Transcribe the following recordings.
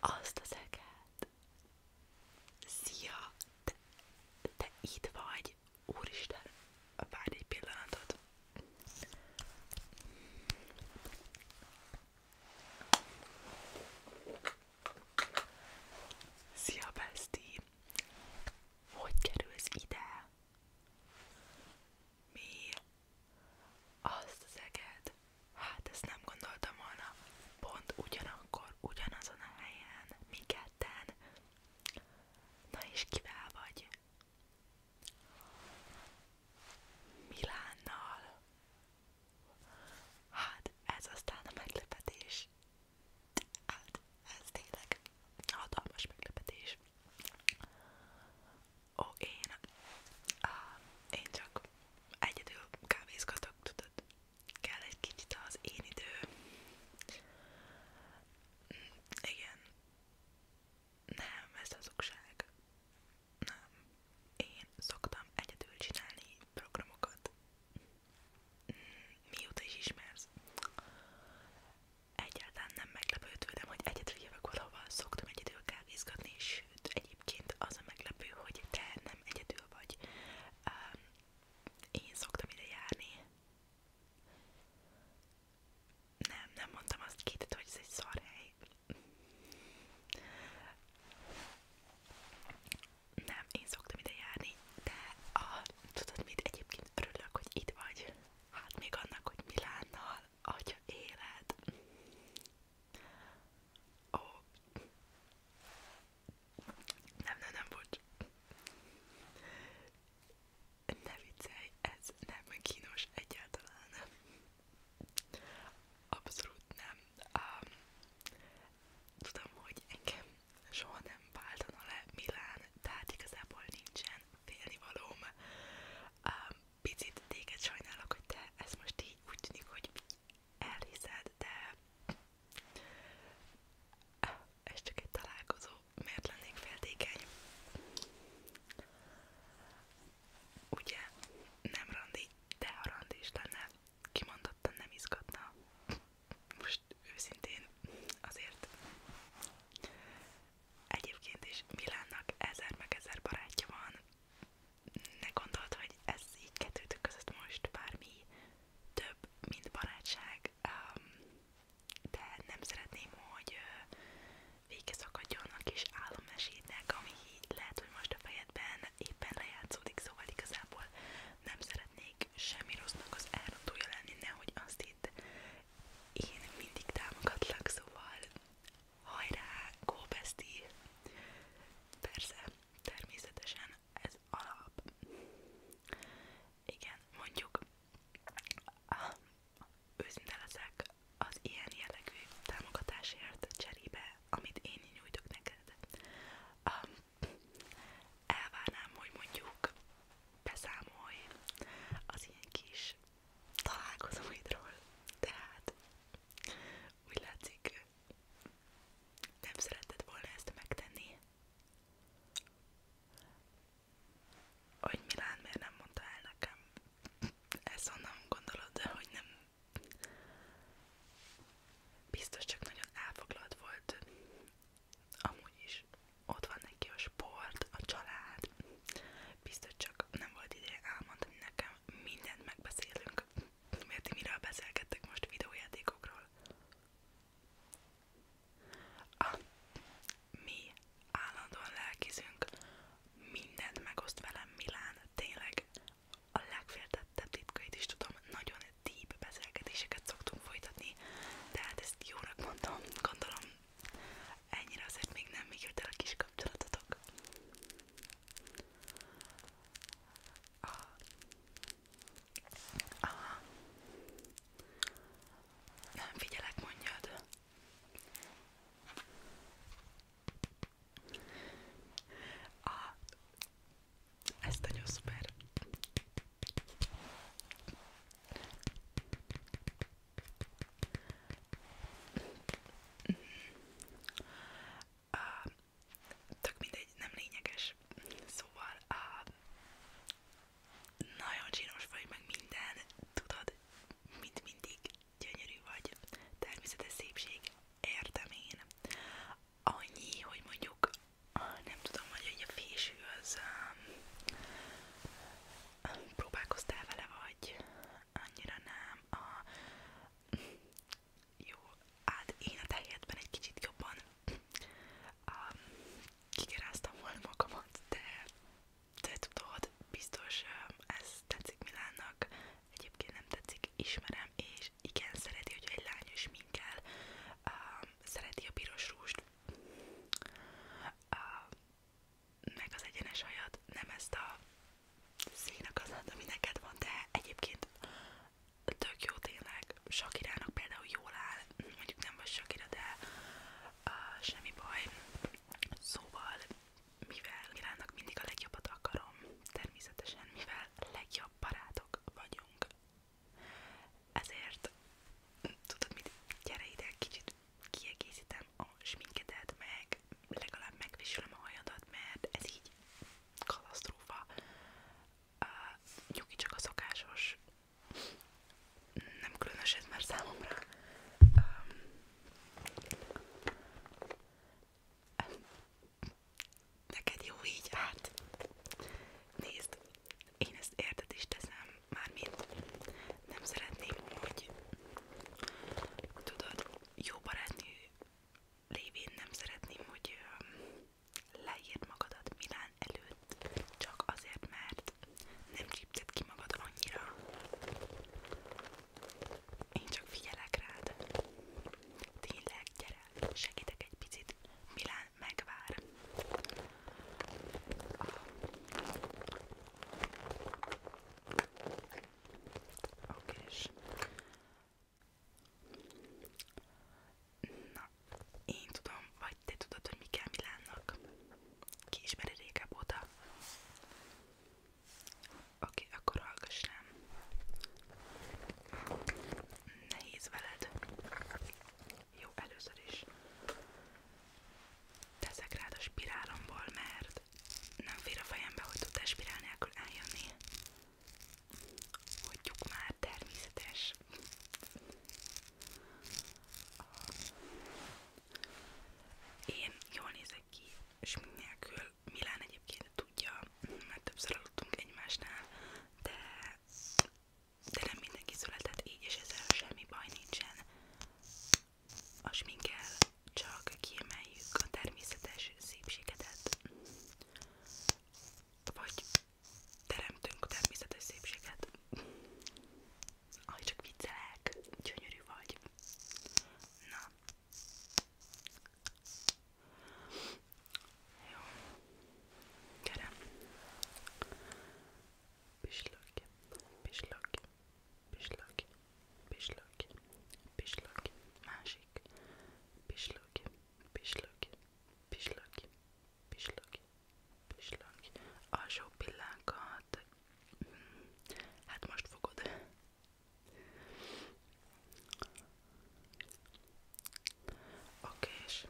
Azt az eget. Szia! Te, te itt vagy? Úristen! Várj egy pillanatot. Szia, Besti! Hogy kerülsz ide? Mi? Azt szeged? Hát ezt nem gondoltam volna. Pont ugyanakkor, ugyanazon a helyen, mi ketten. Na és kivel vagy? Milánnal. Hát ez aztán a meglepetés. Hát ez tényleg hatalmas meglepetés. Ó, én, á, én csak egyedül kávézgatok, tudod, kell egy kicsit az én idő. Igen. Nem, ez hazugság. Nem. Én szoktam egyedül csinálni programokat. Mm, mióta is ismersz. Egyáltalán nem meglepődődöm, hogy egyedül jövök valahova, szoktam egyedül kávézgatni, sőt, egyébként az a meglepő, hogy te nem egyedül vagy. Um, én szoktam ide járni. Nem, nem mondtam azt két, hogy ez egy szar hely. Nem, én szoktam ide járni, de a, tudod mit, egyébként örülök, hogy itt vagy. Hát még annak, hogy Milánnal Szóval, atya élet. Ó. Oh. Nem, nem, nem, bocs. Ne viccelj, ez nem kínos egyáltalán. Abszolút nem. Um, tudom, hogy engem soha nem váltana le Milán, tehát igazából nincsen félnivalóm. Um, picit téged sajnálok, hogy te ezt most így úgy tűnik, hogy elhiszed, de ah, ez csak egy találkozó, miért lennék féltékeny? Ugye nem randi, de ha randi is lenne, kimondottan nem izgatna. Most őszintén azért Egyébként is Milánnak ezer meg ezer barátja van. Ne gondolt, hogy ez így kettőtök között most bármi több, mint barátság, de nem szeretném, hogy vége szakadjon a kis álommesétnek, ami lehet, hogy most a fejedben éppen lejátszódik, szóval igazából nem szeretnék semmi rossznak az elrontója lenni, nehogy azt senkit. Én mindig támogatlak, szóval hajrá, go bestie! Persze, természetesen ez alap. Igen, mondjuk ah, őszinte leszek az ilyen jellegű támogatásért cserébe, amit én nyújtok neked. Um, elvárnám, hogy mondjuk beszámolj az ilyen kis találkozóidról, tehát úgy látszik, nem szeretted volna ezt megtenni. Hogy Milán miért nem mondta el nekem? Ezt onnan gondolod, de hogy nem. Biztos csak nagyon elfoglalt volt amúgy is ott van neki a sport, a család, biztos csak nem volt ideje elmondani nekem, mindent megbeszélünk, mert ti miről beszélgettek most videójátékokról. Ah, mi állandóan lelkizünk, mindent megoszt velem Milán, tényleg a legféltettebb titkait is tudom, nagyon deep beszélgetéseket szoktunk folytatni, de hát ezt jónak mondtam, gondolom Ennyire azért még nem jött el a kis kapcsolatotok. Aha. Aha. Nem figyelek, mondjad. Aha. Ez nagyon szuper. Uh, tök mindegy, nem lényeges. Szóval uh, nagyon csinos vagy, meg minden, tudod, mint mindig gyönyörű vagy. Természetes szépség, értem én. Annyi, hogy mondjuk nem tudom, hogy így a fésű az um, um, próbálkoztál vele, vagy annyira nem. jó, hát én a te egy kicsit jobban um, volna magamat, de te tudod, biztos um, ez tetszik Milánnak, egyébként nem tetszik, ismerem, és igen, szereti, hogy egy lány is minkel, um, szereti a piros rúst, a, meg az egyenes hajad, nem ezt a színakazat, ami neked van, de egyébként tök jó tényleg. Sakirának például jól áll, mondjuk nem vagy Sakira, de uh, semmi baj. Szóval, mivel Sakirának mindig a legjobbat akarom, természetesen mivel legjobb barátok vagyunk, ezért tudod mit, gyere ide, kicsit kiegészítem a sminkedet, meg legalább megviselem a hajadat, mert ez így katasztrófa. Uh, nyugi csak a szokásos, nem különös ez már számomra. Um, Neked jó így, hát nézd, én ezt érted is teszem, mármint nem szeretném, hogy tudod, jó barátnő lévén nem szeretném, hogy leírd magadat Milán előtt, csak azért, mert nem csípted ki magad annyira. Én csak figyelek rád. Tényleg, gyere, segítek egy picit. Milán megvár. A, a kis. Na, én tudom, vagy te tudod, hogy mi kell Milánnak. Ki ismeri régebb óta? Oké, okay, akkor hallgass rám. Nehéz veled. Jó, először is teszek rád a spirálomból, mert nem fér a fejembe, hogy tudtál spirál nélkül eljönni. Hagyjuk már, természetes. Én jól nézek ki, és nélkül Milán egyébként tudja, mert többször aludtunk egymásnál, de de nem mindenki született így, és ezzel semmi baj nincsen. A sminkel csak kiemeljük a természetes szépségedet, vagy teremtünk természetes szépséget. Ahogy csak viccelek, gyönyörű vagy. Na. Jó. Gyere. Pislogj, pislogj, pislogj, pislogj, pislogj. Másik. Pislogj, pislogj, pislogj, pislogj, pislogj. Alsó pillánkat. Hát most fogod. Oké, és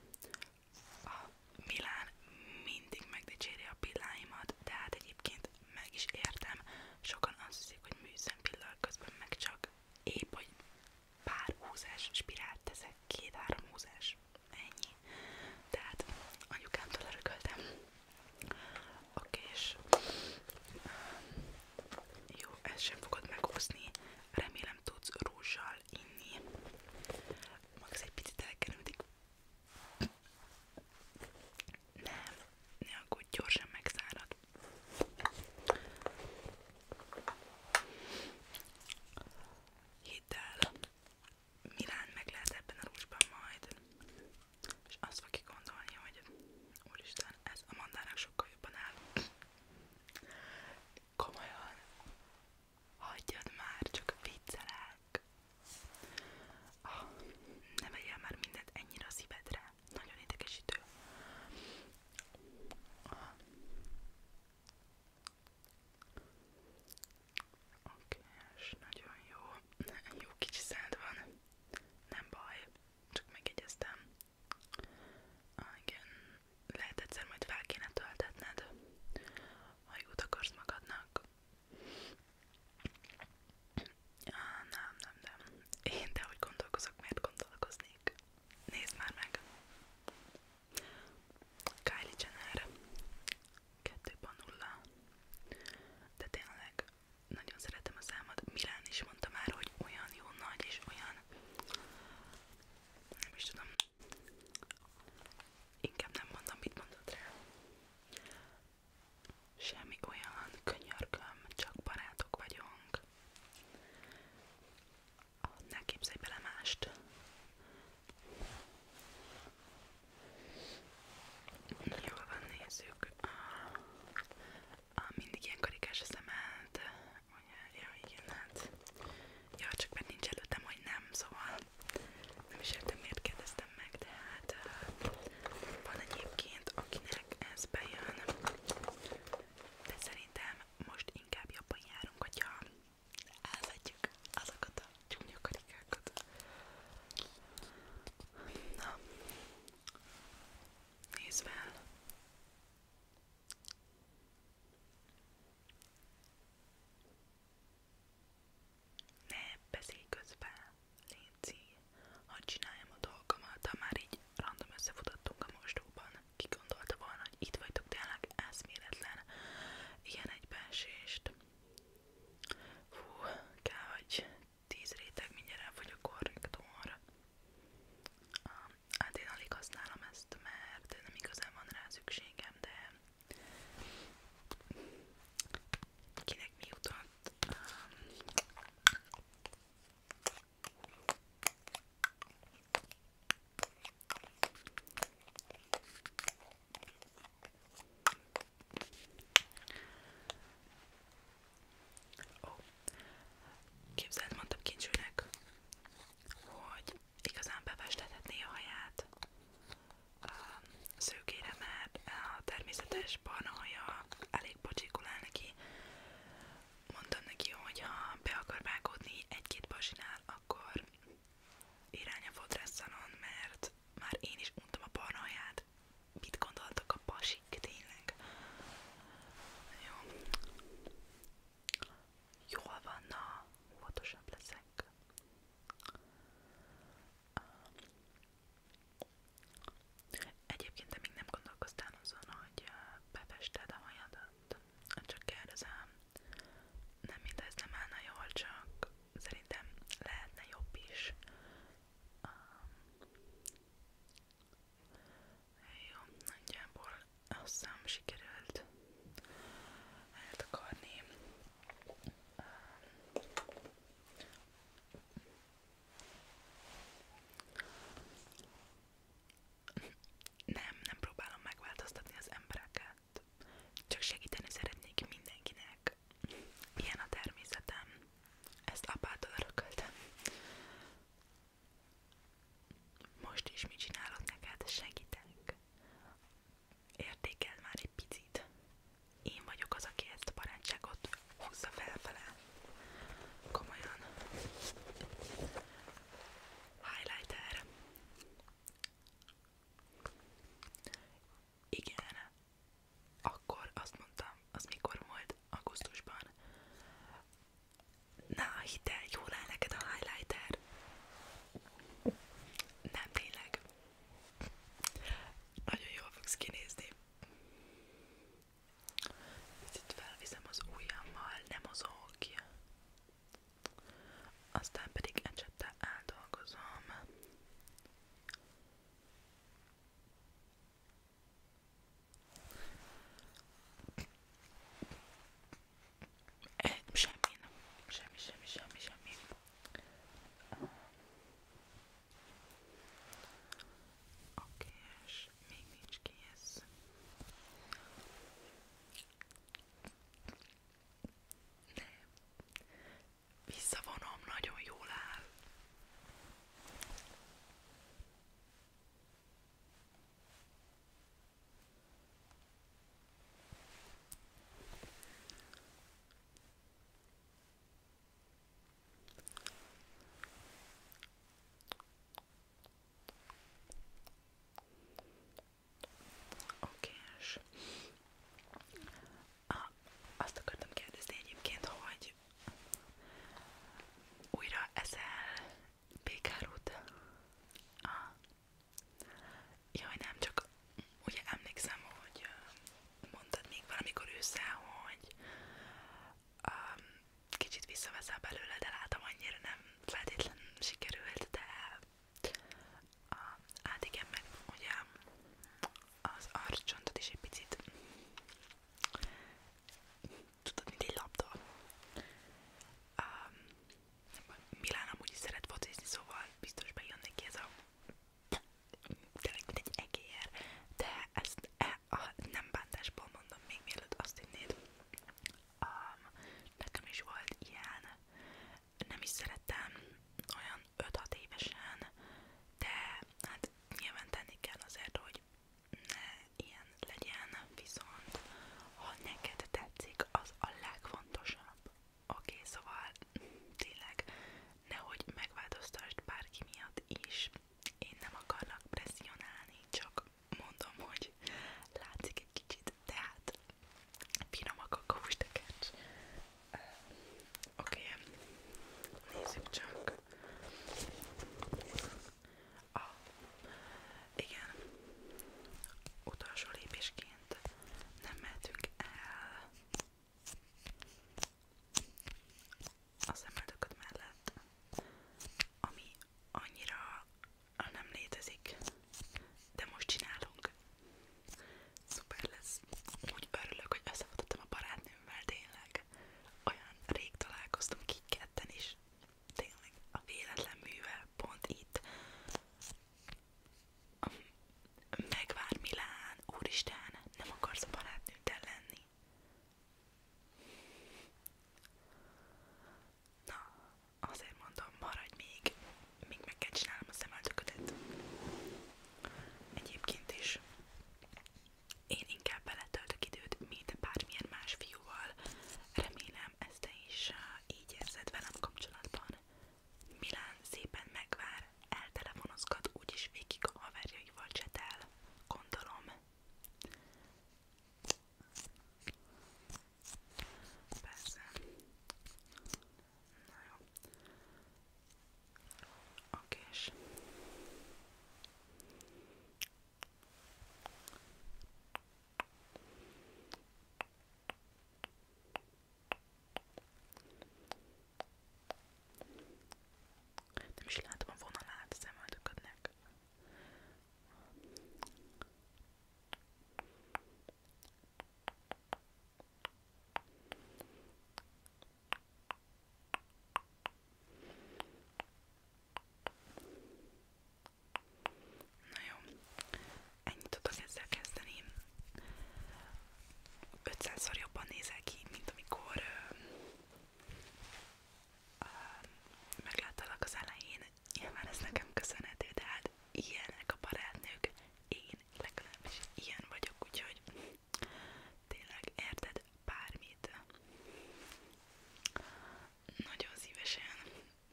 a Milán mindig megdicséri a pilláimat, de hát egyébként meg is értem. Sokan azt hiszik, hogy műszem pillal közben meg csak épp, hogy pár húzás spirált teszek, két-három húzás, ennyi. Tehát anyukámtól örököltem a kés. Jó, ezt sem fogod meghúzni, remélem tudsz rúzsal inni. Max egy picit elkerültik. Nem, ne aggódj, gyorsan megszárad. Hidd el, Milán meg lehet ebben a rúzsban majd. És azt fogja gondolni, hogy úristen, ez a mandának sokkal jobban áll. Komolyan, hagyjad már, csak viccelek. Ah, ne vegyél már mindent ennyire a szívedre. Nagyon idegesítő. Ah. Oké, és nagyon jó. Jó kicsi szád van. Nem baj, csak megjegyeztem. Ah, igen, lehet egyszer majd fel kéne töltetned, ha jót akarsz magadnak. Ah, nem, nem, nem. Én de hogy gondolkozok, miért gondolkoznék? Nézd már meg! Kylie Jenner 2.0 De tényleg, nagyon szeretem a számat. Milán is mondta már, hogy olyan jó nagy és olyan nem is tudom. Inkább nem mondom, mit mondott rá. Semmi olyan, könyörgöm, csak barátok vagyunk. Ne képzelj bele mást. Jól van, nézzük a, mindig ilyen karikás a szemed, ugye, ja igen, hát, ja csak mert nincs előttem, hogy nem, szóval nem is értem miért kérdeztem meg, de hát van egyébként akinek ez bejön, de szerintem most inkább jobban járunk, hogyha elvetjük azokat a csúnya karikákat. Na, nézd fel! Ne beszélj közben, Léci, hadd csináljam a dolgomat, ha már így random összefutottunk a mosdóban. Ki gondolta volna, hogy itt vagytok tényleg eszméletlen ilyen egybeesést. Fú, kell, hogy tíz réteg mindjárt elfogy a korrektor. Um, Hát én alig használom ezt, mert nem igazán van rá szükségem, de kinek mi jutott? Ó, képzeld, mondtam kincsülnek, hogy igazán befestethetné a haját a szőkére, mert a természetes barna haja elég pocsikulál neki. Mondtam neki, hogy ha be akar vágódni egy-két pasinál, akkor irány a fodrásszalon, mert már én is untam a barna haját. Mit gondoltok a pasik tényleg? Jó. Jól van, na, óvatosabb leszek. Egyébként te még nem gondolkoztál azon, hogy befested a hajadat. Csak kérdezem. Nem mint ez nem állna jól, csak szerintem lehetne jobb is. Um, jó, nagyjából azt hiszem sikerült eltakarni. Nem, nem próbálom megváltoztatni az embereket. Csak segíteni szeretnék mindenkinek. Ilyen a természetem. Ezt apától örököltem. Most is mit csinálok neked? Segítek. Értékeld már egy picit. Én vagyok az, aki ezt a barátságot húzza felfele. Komolyan. Highlighter. Igen. Akkor azt mondtam, az mikor volt augusztusban. Na, hidd el, jól áll neked a highlighter? Nem, tényleg. Nagyon jól fogsz kinézni. Itt felviszem az ujjammal, nem mozog ki. Aztán pedig ecsettel áldolgozom. Eh, semmi nem. Semmi, semmi, semmi, semmi. Oké, és még nincs kész. Nem. Visszavonom, nagyon jól áll. Oké, és ah, azt akartam kérdezni egyébként, hogy hogy újra ezel békárút. Ah. Jaj, nem, csak ugye emlékszem, hogy mondtad még valamikor ősszel, hogy um, kicsit visszaveszel belőle, de látom annyira nem feltétlen sikerült, de uh, hát igen, meg ugye az arcsontod is egy picit tudod, mint egy labda. Um, Milán amúgy is szeret focizni, szóval biztos bejön neki ez a tényleg mint egy egér, de ezt e, a, nem bántásból mondom, még mielőtt azt hinnéd. Um, nekem is volt ilyen, nem is szerettem olyan 5-6 évesen, de hát nyilván tenni kell azért, hogy ne ilyen legyen, viszont ha neked tetszik, az a legfontosabb. Oké, okay, szóval tényleg nehogy megváltoztasd bárki miatt is, én nem akarlak presszionálni, csak mondom, hogy látszik egy kicsit, tehát finomak a kóstekercs, Oké, okay. nézzük csak. A, igen, utolsó lépésként nem mehetünk el a szemöldököd mellett, ami annyira nem létezik, de most csinálunk szuper lesz. Úgy örülök, hogy összefutottam a barátnőmmel, tényleg. Olyan rég találkoztunk így ketten is. Tényleg a véletlen művel pont itt. Megvár Milán, úristen, nem akarsz a barátnőddel lenni? Na, azért mondom, maradj még, még meg kell csinálnom a szemöldöködet. Egyébként is én inkább beletöltök időt, mint bármilyen más fiúval. Remélem, ezt te is uh, így érzed velem kapcsolatban. Milán szépen megvár, eltelefonozgat, úgyis végig a haverjaival csetel. Gondolom. Persze. Na jó. Okés. Nem is látom a vonalát szemöldöködnek. Na jó, ennyit tudok ezzel kezdeni. 500-szor jobban nézel ki, mint amikor uh, uh, megláttalak az elején. Nyilván ez nekem köszönhető, de hát ilyenek a barátnők, én legalábbis ilyen vagyok, úgyhogy Tényleg, érted? Bármit. Nagyon szívesen,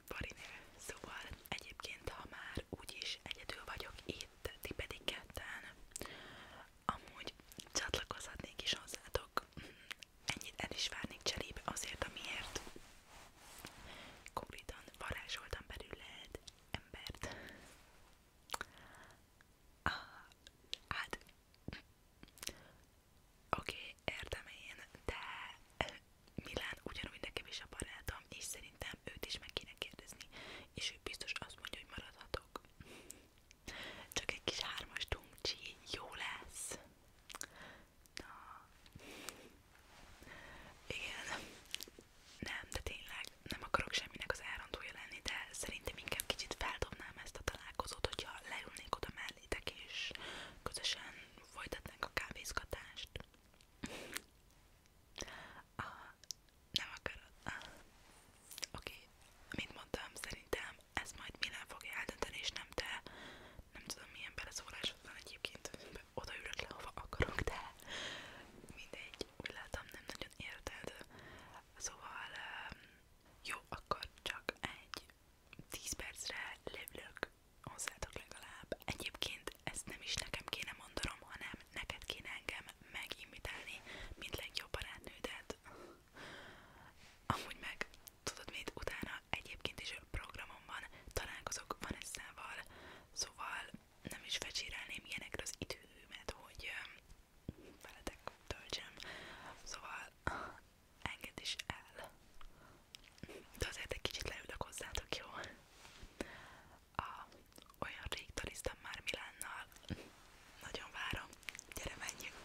Barinő. Szóval egyébként, ha már úgyis egyedül vagyok itt, ti pedig ketten, amúgy csatlakozhatnék is hozzátok. Ennyit el is várnék cserébe azért, amiért konkrétan varázsoltam belőled embert. Ah, hát, oké, okay, értem én, de eh, Milán ugyanúgy nekem is a barátom, és szerintem őt is meg kéne kérdezni, és ő biztos azt mondja, hogy maradhatok. Csak egy kis hármas dumcsi, jó lesz. Na. Igen, nem, de tényleg nem akarok semminek az elrontója lenni, de szerintem inkább kicsit feldobnám ezt a találkozót, hogyha leülnék oda mellétek és közösen folytatnánk a kávézgatást. ah, nem akarod? Ah. Oké, okay. mint mondtam, szerintem ez majd Milán fogja eldönteni, és nem te. Nem tudom milyen beleszólás van egyébként inkább odaülök le, hova akarok, de mindegy, úgy látom nem nagyon érted, szóval ehm, jó, akkor csak egy 10 percre lövlök hozzátok legalább. Egyébként ezt nem is nekem kéne mondanom, hanem neked kéne engem megimitálni, mint legjobb barátnődet. Amúgy meg, tudod mit, utána egyébként is a programomban találkozok Vanessa-val, szóval nem is fecsérelném ilyenekre az időmet, hogy veletek töltsem. Szóval enged is el. De azért egy kicsit leülök hozzátok, jó? A, olyan rég taliztam már Milánnal. Nagyon várom. Gyere, menjünk!